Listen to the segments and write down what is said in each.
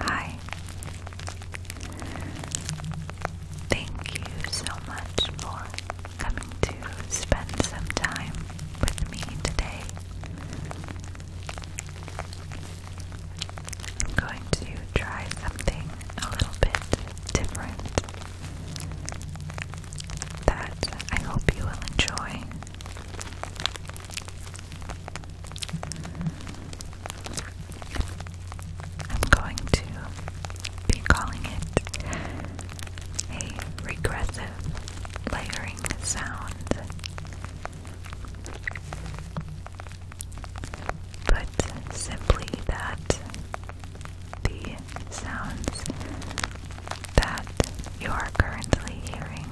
Hi. Thank you so much for coming to spend some time with me today. I'm going to try something a little bit different that I hope you will enjoy. I'm going to be calling it a regressive layering sound. But simply that the sounds that you are currently hearing.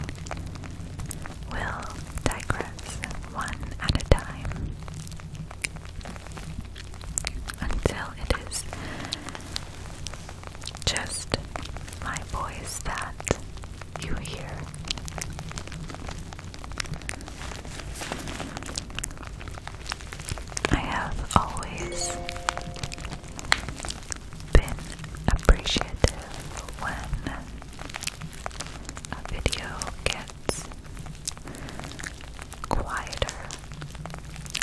Will digress one at a time until it is just my voice that you hear. I have always been appreciative when a video gets quieter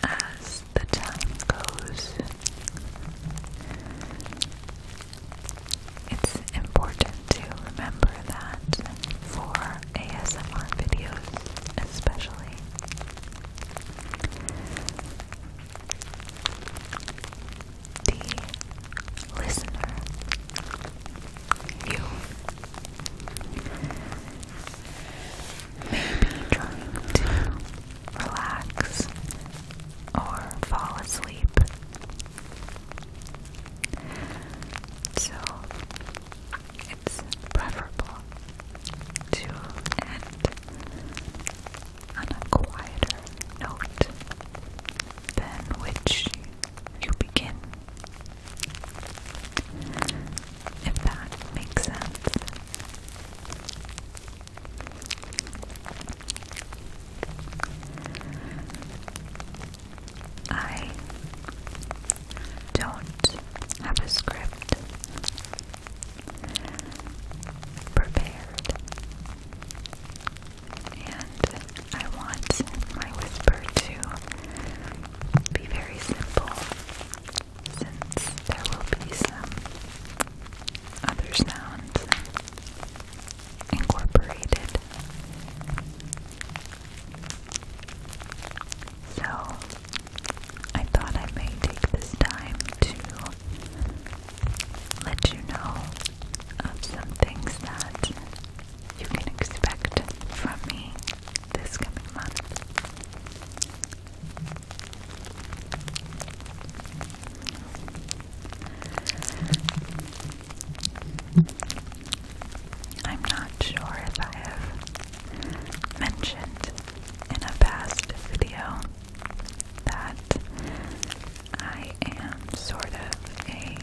as the time goes. It's important to remember that for ASMR videos, especially, the listener, you may be trying to relax or fall asleep. So, it's preferable to end on a quieter note than which you begin. If that makes sense. I don't have a script prepared, and I want my whisper to be very simple since there will be some other sounds incorporated. So I thought I may take this time to let you know of some things that you can expect from me this coming month. I'm not sure if I have mentioned in a past video that I am sort of a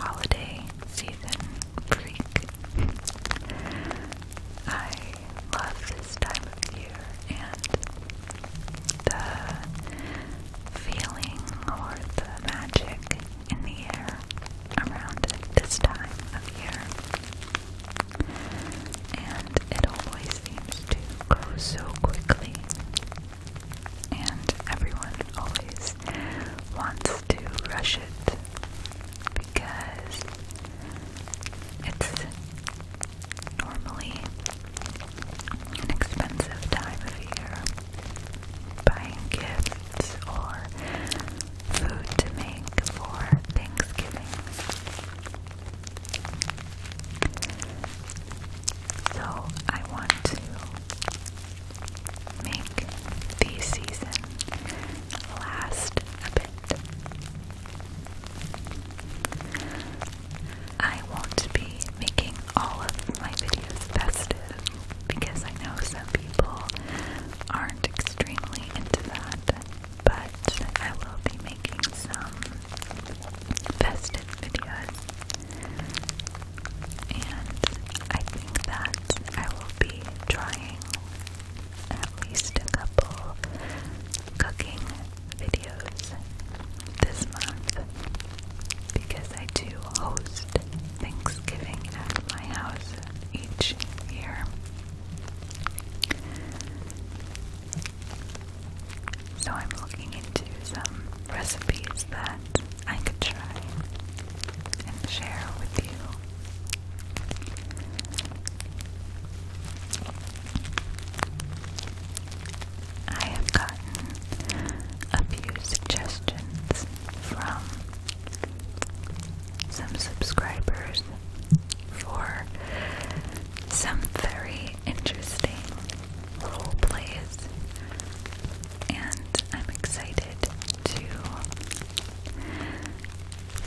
holiday season freak. I love this time of year and the feeling or the magic in the air around this time of year. And it always seems to go so quickly. And everyone always wants to rush it because it's normally an expensive time of year. Buying gifts or food to make for Thanksgiving. So I want to make the season last a bit. I won't be making all of my videos festive because I know some people aren't extremely into that, but I will be making some festive videos, and I think that I will be trying at least a couple cooking videos this month because I do host Thanksgiving at my house each year so I'm looking into some recipes that I could try and share with you. I have gotten a few suggestions from some subscribers for some very interesting role plays, and I'm excited to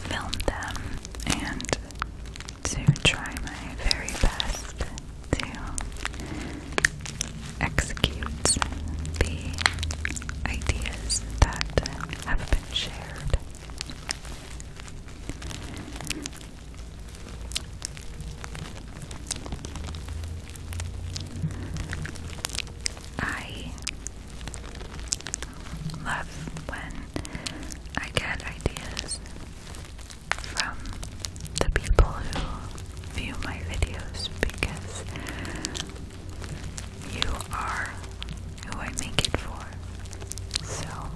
film them and to try my very best to execute the ideas that have been shared. I love when I get ideas from the people who view my videos because you are who I make it for. So,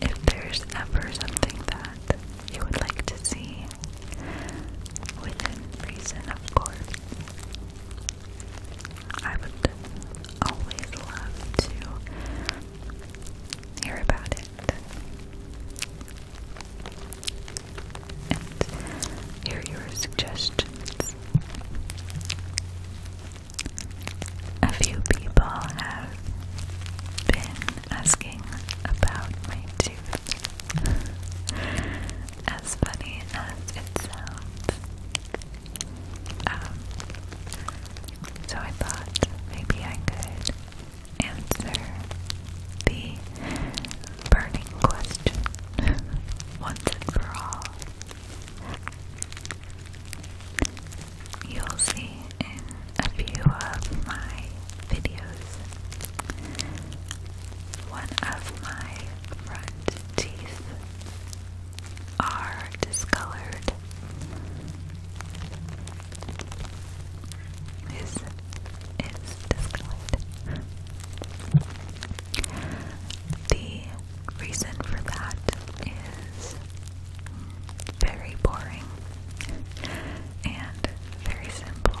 if there's ever something that you would like to see, within reason, of course, I would always love to hear about it. And hear your suggestions a few people have been asking about my tooth. as funny as it sounds. Um, so I thought maybe I could answer the burning question once and for all. You'll see in a few of my videos. One of my front teeth are discolored. Is is discolored. The reason for that is very boring and very simple.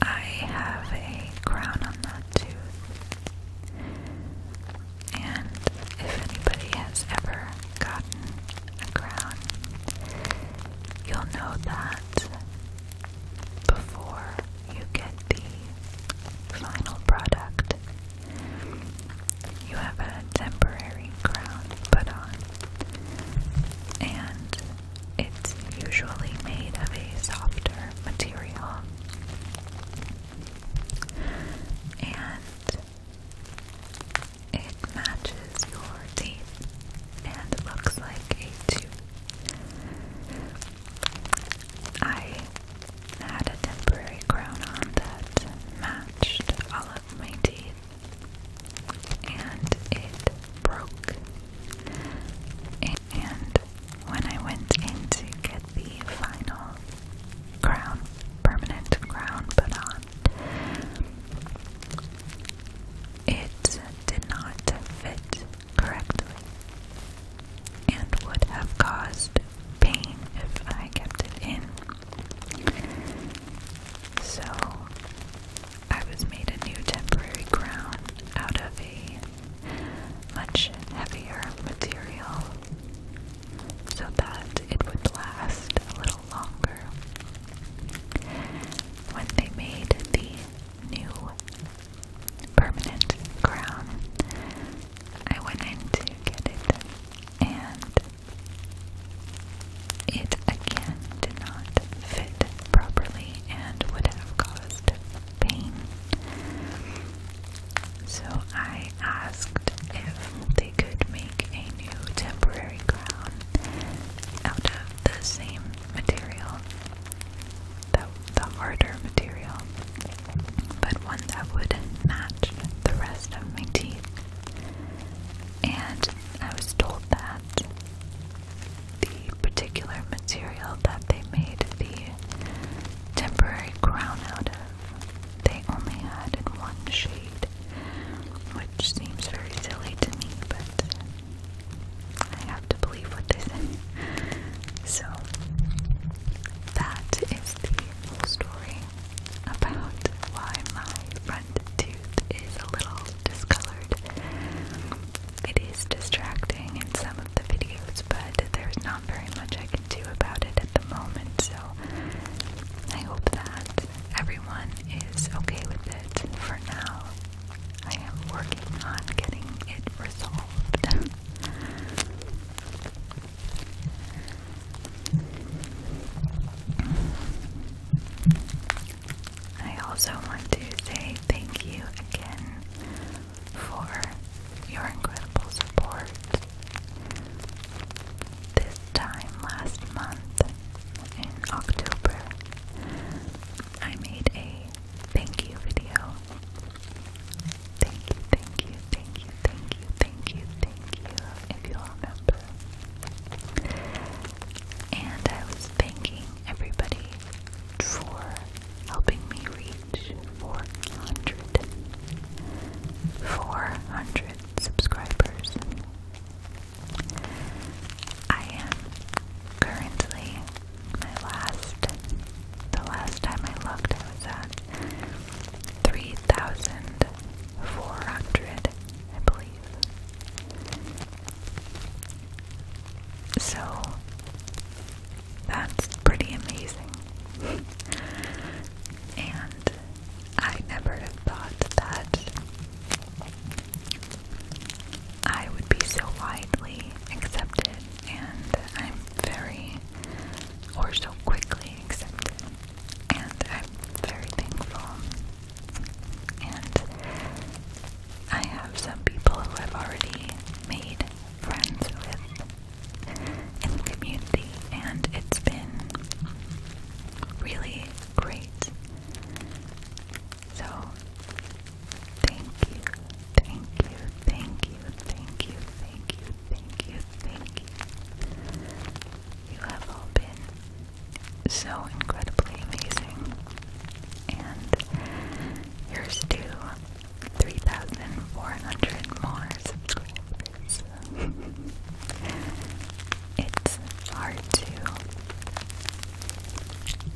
I have a crown on that tooth, and if anybody has ever gotten a crown, you'll know that before you get the final product. You have a temporary crown put on, and it's usually made of a softer material. And it matches your teeth and looks like a tooth. I had a temporary crown on that matched all of my teeth, and it broke. And when I went in to get the final crown, permanent crown put on, it did not fit correctly and would have caused pain if I kept it in. So I was made a new temporary crown out of a much heavier material so that it would last a little longer. When they made the new permanent crown. I went in to get it and it again did not fit properly and would have caused pain. So I asked if they could make a new temporary crown out of the same material the, the harder material, but one that would match the rest of my teeth. And I was told that the particular material that they made the temporary crown out of, they only had in one shade, which seems very silly to me, but I have to believe what they say. So, that is the whole story about why my front tooth is a little discolored. It is distracting in some of the videos, but there's not very much I can do about it at the moment, so I hope that everyone is okay with it for now. I am working on getting it resolved. I also want to say thank you again for your incredible support. This time last month, in October, I made a thank you video. Thank you, thank you, thank you, thank you, thank you, thank you, if you remember. And I was thanking everybody for helping me reach 400, subscribers. I am currently my last, the last time I looked, I was at 3,400, I believe. So, that's pretty amazing. and I never have thought that I would be so widely accepted, and I'm very, or so quickly accepted, and I'm very thankful. And I have some people who I've already made friends with in the community, and it's been really great. So, thank you, thank you, thank you, thank you, thank you, thank you, thank you. You have all been so incredibly amazing. And here's to 3,400 more subscribers. it's hard to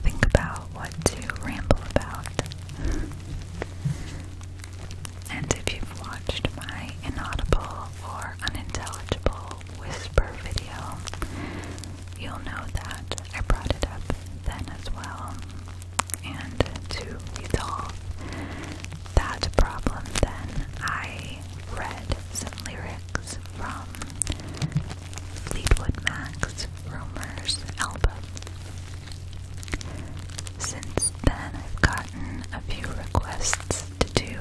think about what to ramble about. And if you've watched my inaudible or unintelligible whisper video, you'll know that I brought it up then as well. And to resolve that problem, then I read some lyrics from Fleetwood Mac's Rumors album. Since then, I've gotten a few requests to do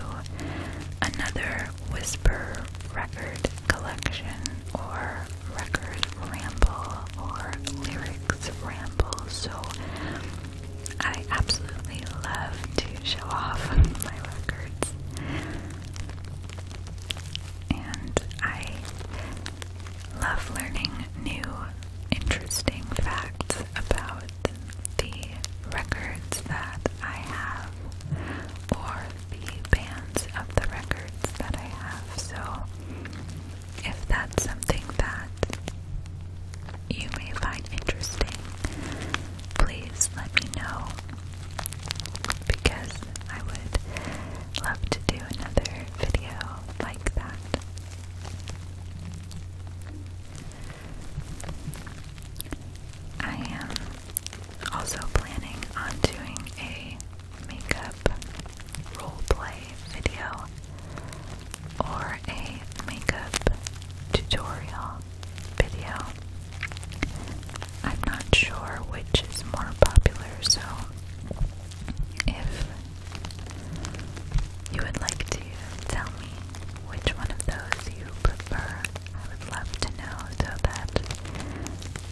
another Whisper record collection or record ramble or lyrics ramble, so I absolutely love to show off my records and I love learning new, interesting facts about the records that I have or the bands of the records that I have. So, if that's something that you may find interesting, please let me know because I would love to do another video like that. I am also planning on doing a makeup roleplay video or a makeup tutorial video. I'm not sure which is more popular, so if you would like to tell me which one of those you prefer, I would love to know so that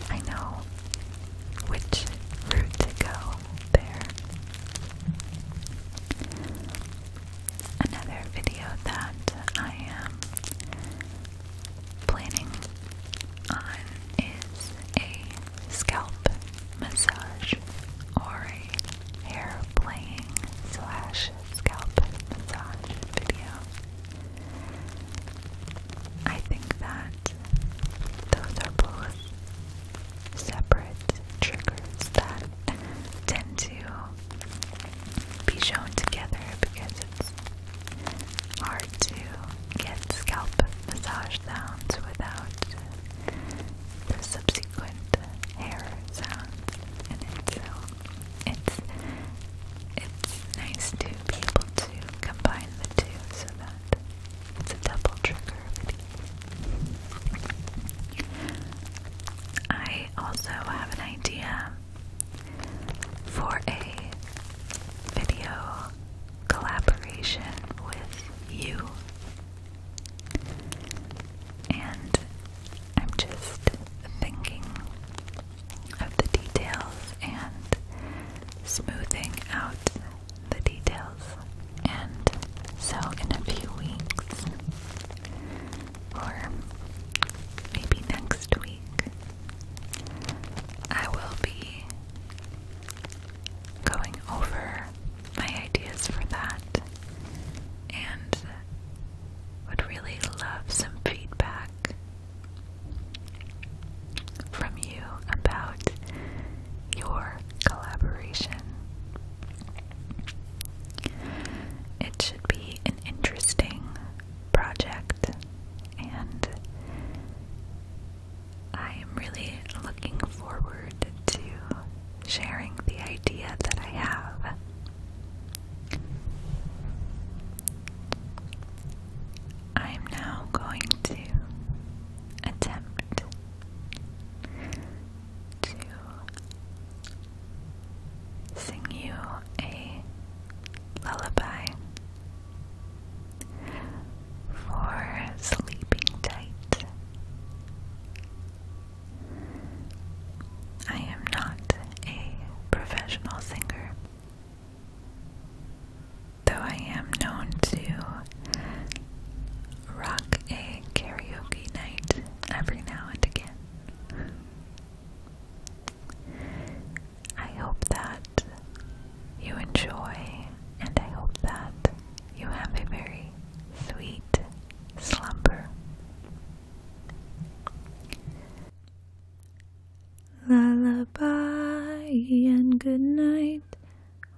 I know which route to go there. Another video that I am planning on is a scalp massage or a hair playing slash scalp massage video. I think that those are both separate triggers that tend to be shown together because it's hard to get scalp massage sounds without the subsequent hair sounds in So uh, it's it's nice to be able to combine the two so that it's a double trigger video. I also have an idea for a video collaboration with you. And I'm just thinking of the details and smoothing out the details. And so, in a few weeks, or maybe next week, I will be going over my ideas for that and would really love some feedback from you about your collaboration. It should be an interesting project, and I am really looking forward to sharing the idea that I have. I am now going to attempt to sing you a lullaby for sleeping tight. I am not a professional singer, though I am known to rock a karaoke night every now and again. I hope that you enjoy, and I hope that you have a very sweet slumber. Lullaby and good night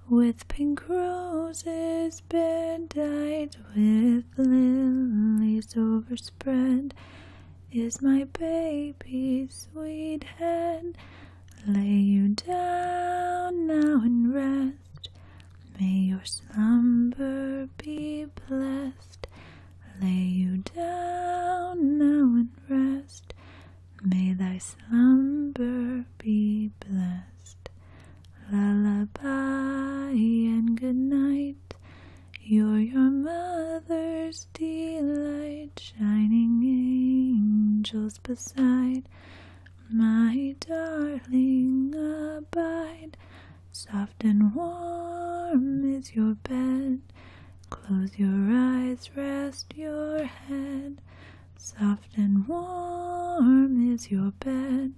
with pink roses bed with lilies overspread is my baby, sweet head. Lay you down now and rest. May your slumber be blessed. Lay you down now and rest. May thy slumber be blessed. Lullaby and good night. You're your mother's light shining angels beside. My darling, abide. Soft and warm is your bed. Close your eyes, rest your head. Soft and warm is your bed.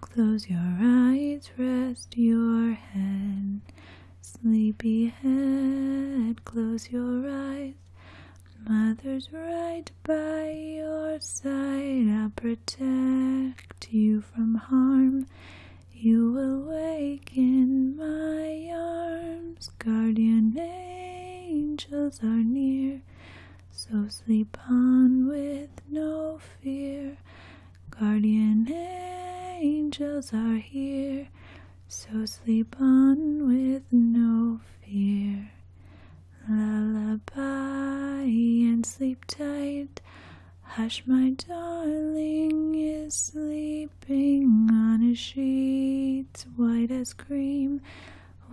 Close your eyes, rest your head. Sleepy head, close your eyes. Mother's right by your side. I'll protect you from harm. You will wake in my arms. Guardian angels are near. So sleep on with no fear. Guardian angels are here, so sleep on with no fear. Lullaby and sleep tight. Hush, my darling is sleeping on a sheet white as cream,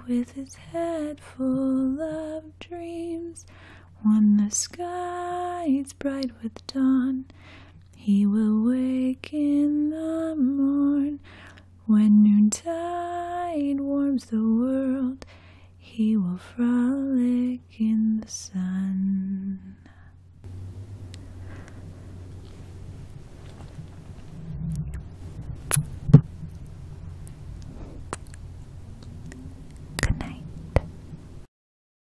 with his head full of dreams. When the sky is bright with dawn, he will wake in the morn when noontide warms the world. He will frolic in the sun. Good night.